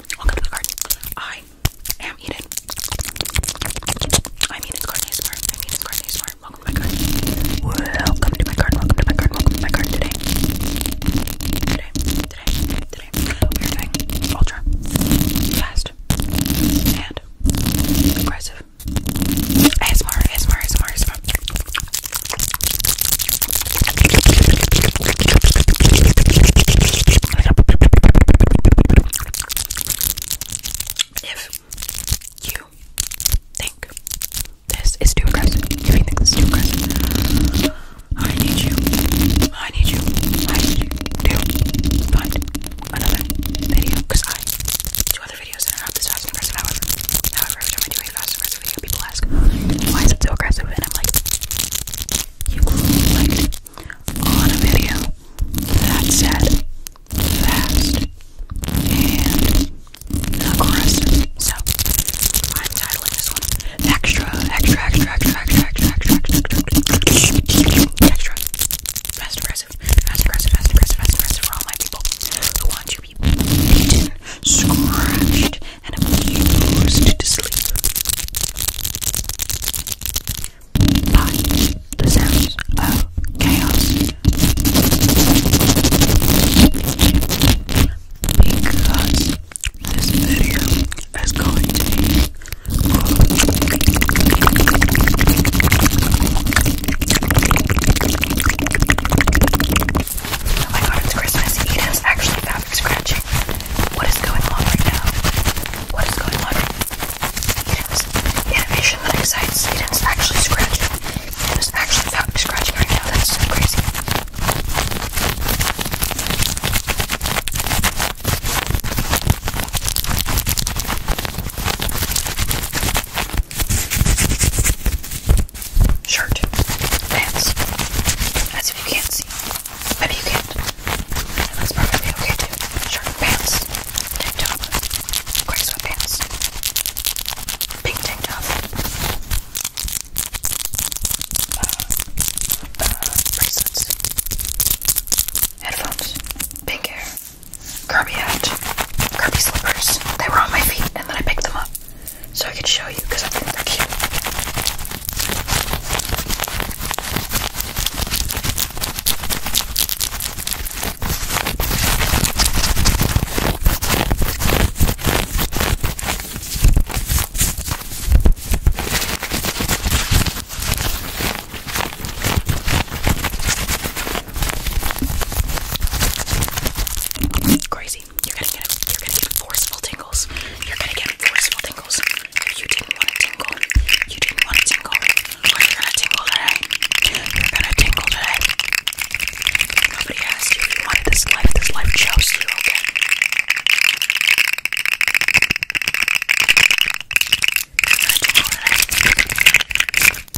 Welcome to the garden. I am Eden. I'm Eden's ASMR. ASMR. Welcome to garden. Welcome to my garden. Welcome to my garden. Welcome to my garden today. Today, today, today, we are doing ultra fast and aggressive ASMR, ASMR, ASMR, ASMR. If you think this is too aggressive, if you think this is too aggressive, I need you, I need you, I need you to find another video because I do other videos that are not this fast and aggressive. However, however, every time I do a fast and aggressive this video, people ask, why is it so aggressive? And I'm like, you clicked on a video that said fast and aggressive. So, I'm titling this one Extra, Extra, Extra, Extra, Extra, Extra, Extra, Extra, Extra, Fast Aggressive, Fast Aggressive, Fast Aggressive, Fast Aggressive for all my people who want to be beaten, scratched, and I'm forced to sleep by the sounds of chaos. Because this video is going Oh my god, it's Christmas. Eden is actually fabric scratching. What is going on right now? What is going on? Eden's animation that excites. Eden's actually scratching. Eden is actually fabric scratching right now. That's so crazy shirt, pants, as if you can't see. Maybe you can't. And that's perfectly okay too. Shirt, pants, tank top, gray sweatpants, pink tank top, uh, uh, bracelets, headphones, pink hair, Kirby hat, Kirby slippers. They were on my feet and then I picked them up so I could show you because I think they're cute. Crazy. You're gonna get you're gonna get forceful tingles. You're gonna get forceful tingles. If you didn't want a tingle, you didn't want a tingle. But you're gonna tingle today. You're gonna tingle today. Nobody asked you you wanted this life. This life chose you, okay? You're gonna today. Because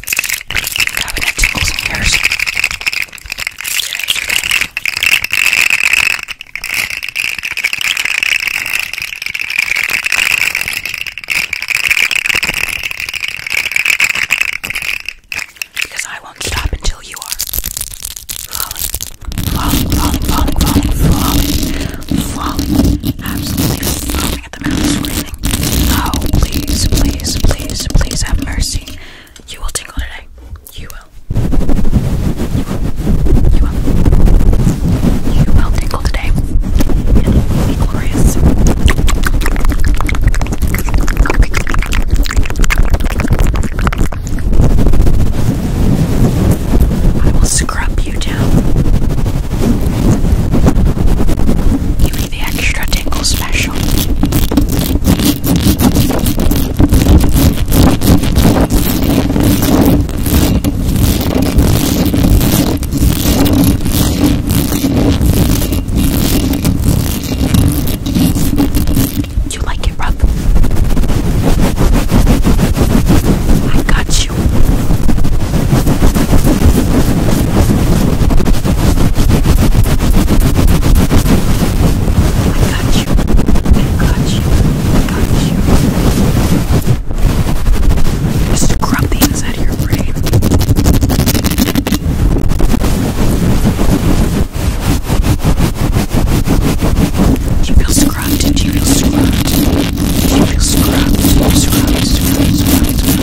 I won't stop until you are falling, falling, falling, falling, falling, falling, absolutely Oh, please, please, please, please have mercy. You will tingle today. You will. You will. You will. You will tingle today. glorious. I will scrub you down the extra tingle special. You like it rough? I got you. I got you. I got you. I got you. Just scrub the inside of your brain. Do you feel scrubbed? Do you feel scrubbed? Do you feel scrubbed? Scrubbed, scrubbed, scrubbed, scrubbed,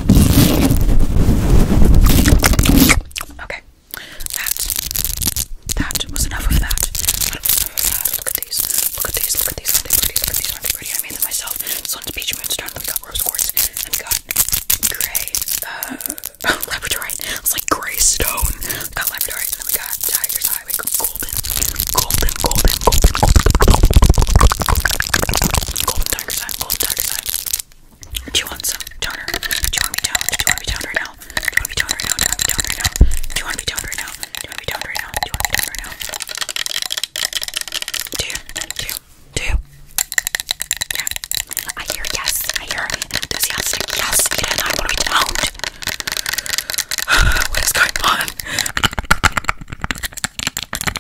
Okay, that that was enough of that. That was enough of that. Look at these. Look at these. Look at these. Aren't they pretty? Look at these. Aren't they pretty? I made them myself. This one's peach moonstone. We got rose quartz. And we got gray. Uh, oh, labradorite. It's like gray stone. We got labradorite. And then we got tiger's eye. We got golden, golden, golden, golden, golden, golden, golden, golden, golden dark side, gold dark side. Do you want some toner? Do you want me toned? Do you want me toned right now? Do you want me toned right now? Do you want me toned right now? Do you want me toned right now? Do you want me toned right now? Do you want me toned right now? Do you? Do you? Do you? Yeah. I hear yes. I hear an enthusiastic yes. Yeah, and I want to be toned. what is going on?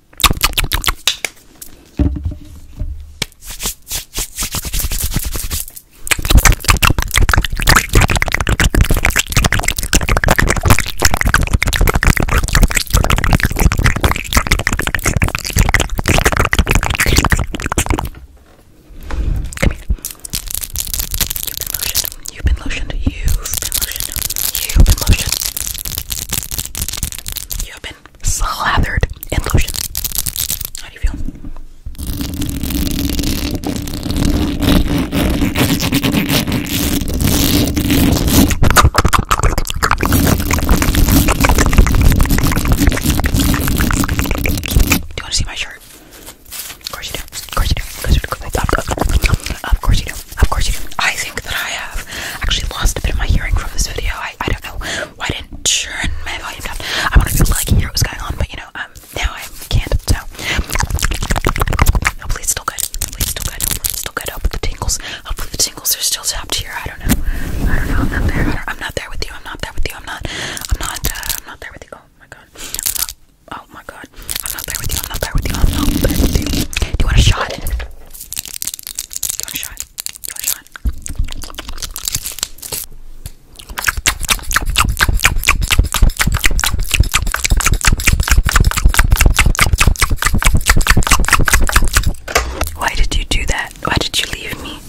You've been lotioned. You've been lotioned. You've been lotioned. You've been lotioned. You have been slathered in lotion. How do you feel? Do you want to see my shirt? Of course you do. Of course you do. Of course you do. Of course you do. Of course you do. I think that I have actually lost a bit of my hearing from this video. I, I don't know why I didn't turn my volume down. I wanted to like hear what was going on, but you know, um, now I can't. So hopefully it's still good. Hopefully it's still good. Hopefully it's still good. Hopefully the tingles. Hopefully the tingles are still top tier. I don't know. I don't know. I'm not there. I am not there with you. I'm not there with you. I'm not. I'm not. Uh, I'm not there with you. Oh my god. I'm not. Oh my god. I'm not there with you. I'm not there with you. I'm not there with you. Do you want a shot? Do you want a shot? Do you want a shot? Why did you do that? Why did you leave me?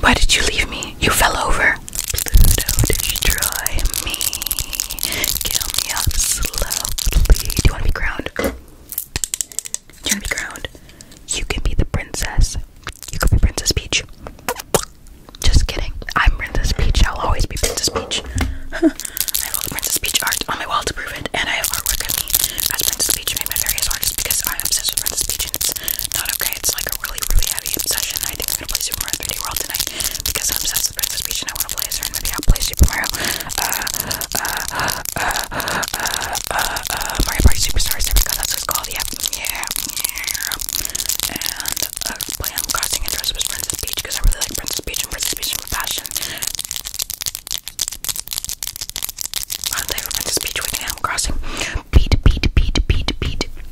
Why did you leave me? You fell over. Pluto, destroy me. Kill me up Do you want to be crowned? you want to be crowned? You can be the princess. You could be Princess Peach. Just kidding. I'm Princess Peach. I'll always be Princess Peach. I have all the Princess Peach art on my wall to prove it, and I have artwork of me as Princess Peach made by various artists because I'm obsessed with Princess Peach, and it's not okay. It's like a really, really heavy obsession. I think I'm gonna play Super Mario 3D World because I'm obsessed with Princess Peach and I want to play as her. Maybe I'll play Super Mario. Uh, uh, uh, Mario Party Superstars. That's what it's called. Yeah, yeah, yeah. And uh, play on oh Crossing Interest with Princess Peach because I really like Princess Peach and Princess Peach with passion. I'm Princess Peach with Animal Crossing. Beat, beat, beat, beat, beat.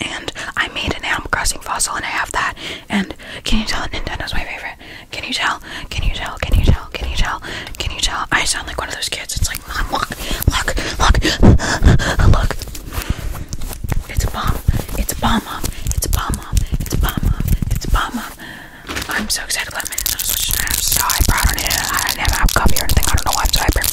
and I made an Animal Crossing fossil, and I have that. And can you tell Nintendo's my favorite? Can you tell? Can you tell? Can you tell? Can you tell? Can you tell? I sound like one of those kids. It's like, mom, look, look, look, look. It's a bomb. It's a bomb, mom. It's a bomb, mom. It's a bomb, mom. It's a bomb, mom. I'm so excited about my Nintendo Switch. And I'm so proud of it. I never have a copy or anything. I don't know why I'm so hyper. Uh,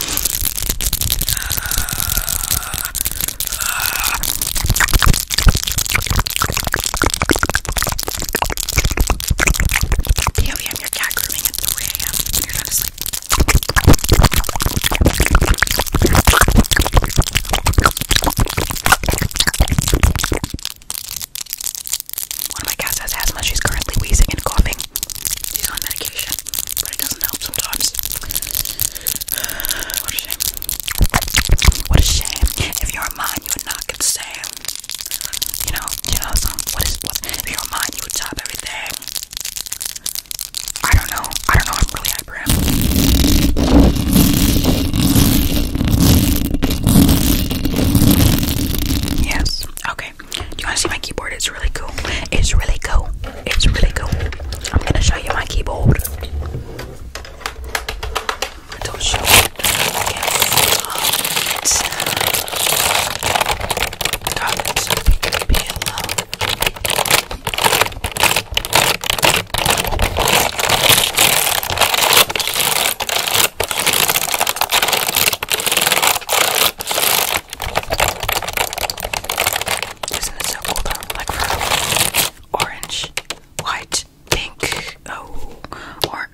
POVM, your cat grooming at 3 a.m. and you're not asleep. One of my cats has asthma. She's currently wheezing and coughing. She's on medication, but it doesn't help sometimes. What a shame. What a shame. If you were mine, you would knock and say, you know, you know, so what is what? If you were mine, you would top everything. I don't know. I don't know. I'm really hyper. Yes. Okay. Do you want to see my keyboard? It's really cool. It's really cool. It's really cool. I'm gonna show you my keyboard. don't show it. Isn't it so cool though? Like orange, white, pink, oh, or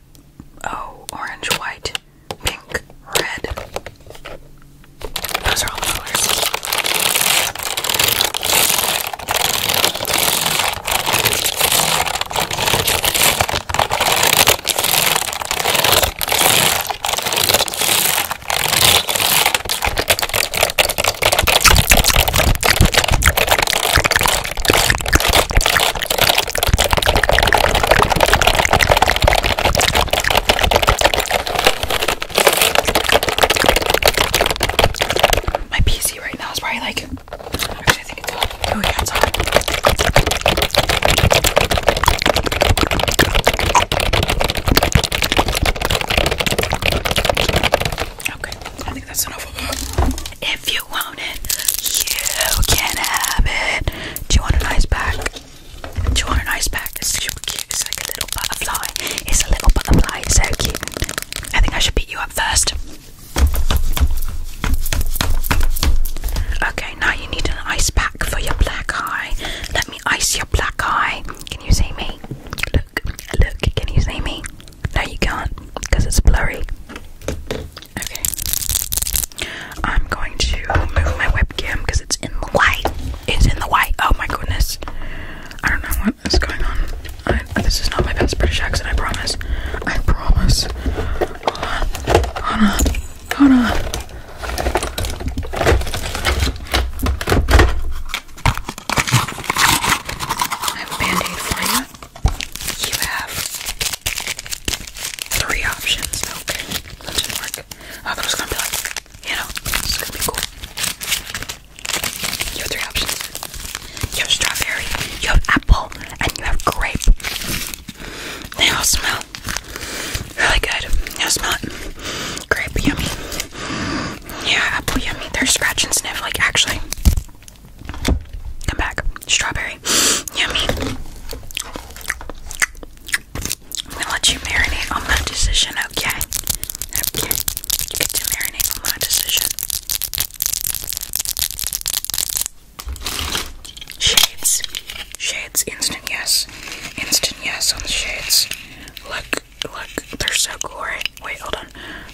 oh, orange, white, pink, red. Those are all the colors. My PC right now is probably like actually I think it's on. Oh yeah, it's on. Okay, I think that's enough of that. If you want it, you can have it. Do you want an ice pack? Do you want an ice pack? It's super cute. It's like a little butterfly. It's a little butterfly. It's so cute. I think I should beat you up first. Okay, now you need an ice pack for your black eye. I see your black eye. Can you see me? Look, look, can you see me? No, you can't because it's blurry. Okay. I'm going to move my webcam because it's in the light. It's in the light. Oh my goodness. I don't know what is going on. this is not my best British accent, I promise. I promise. Hold on. I have a for you. You have three options. Okay, didn't work. I oh, thought was gonna be like, you know, it's gonna be cool. You have three options. You have strawberry, you have apple, and you have grape. They all smell really good. you smell it. yummy. Yeah, apple yummy. They're scratch and sniff, like actually. Come back. Strawberry. Yummy. I'm gonna let you marinate on my decision, okay? Okay. You get to marinate on my decision. Shades. Shades. Instant yes. Instant yes on the shades. Look, look. They're so glory. Wait, hold on.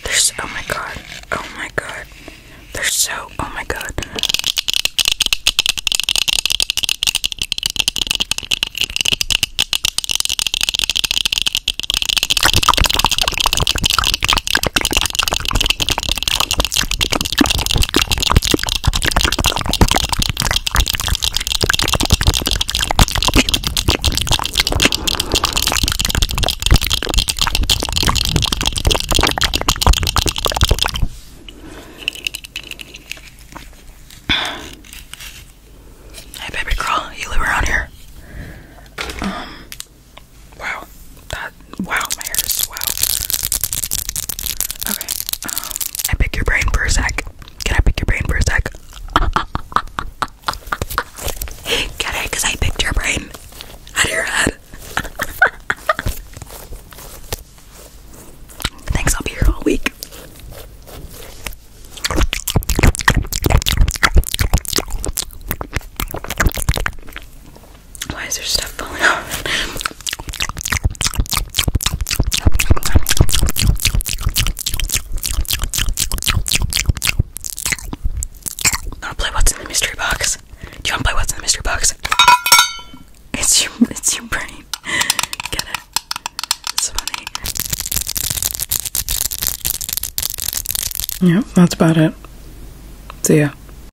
They're so, oh my god. Oh my god. They're so, oh my god. Hey, baby girl, you live around here? Um, wow, that Wow, my hair is swell. Okay, um, I pick your brain for a sec. Can I pick your brain for a sec? Get it? Cause I picked your brain out of your head. Thanks, I'll be here all week. Why is there stuff falling off? Wanna play what's in the mystery box? Do you wanna play what's in the mystery box? It's your it's your brain. Get it? It's funny. Yep, that's about it. See ya.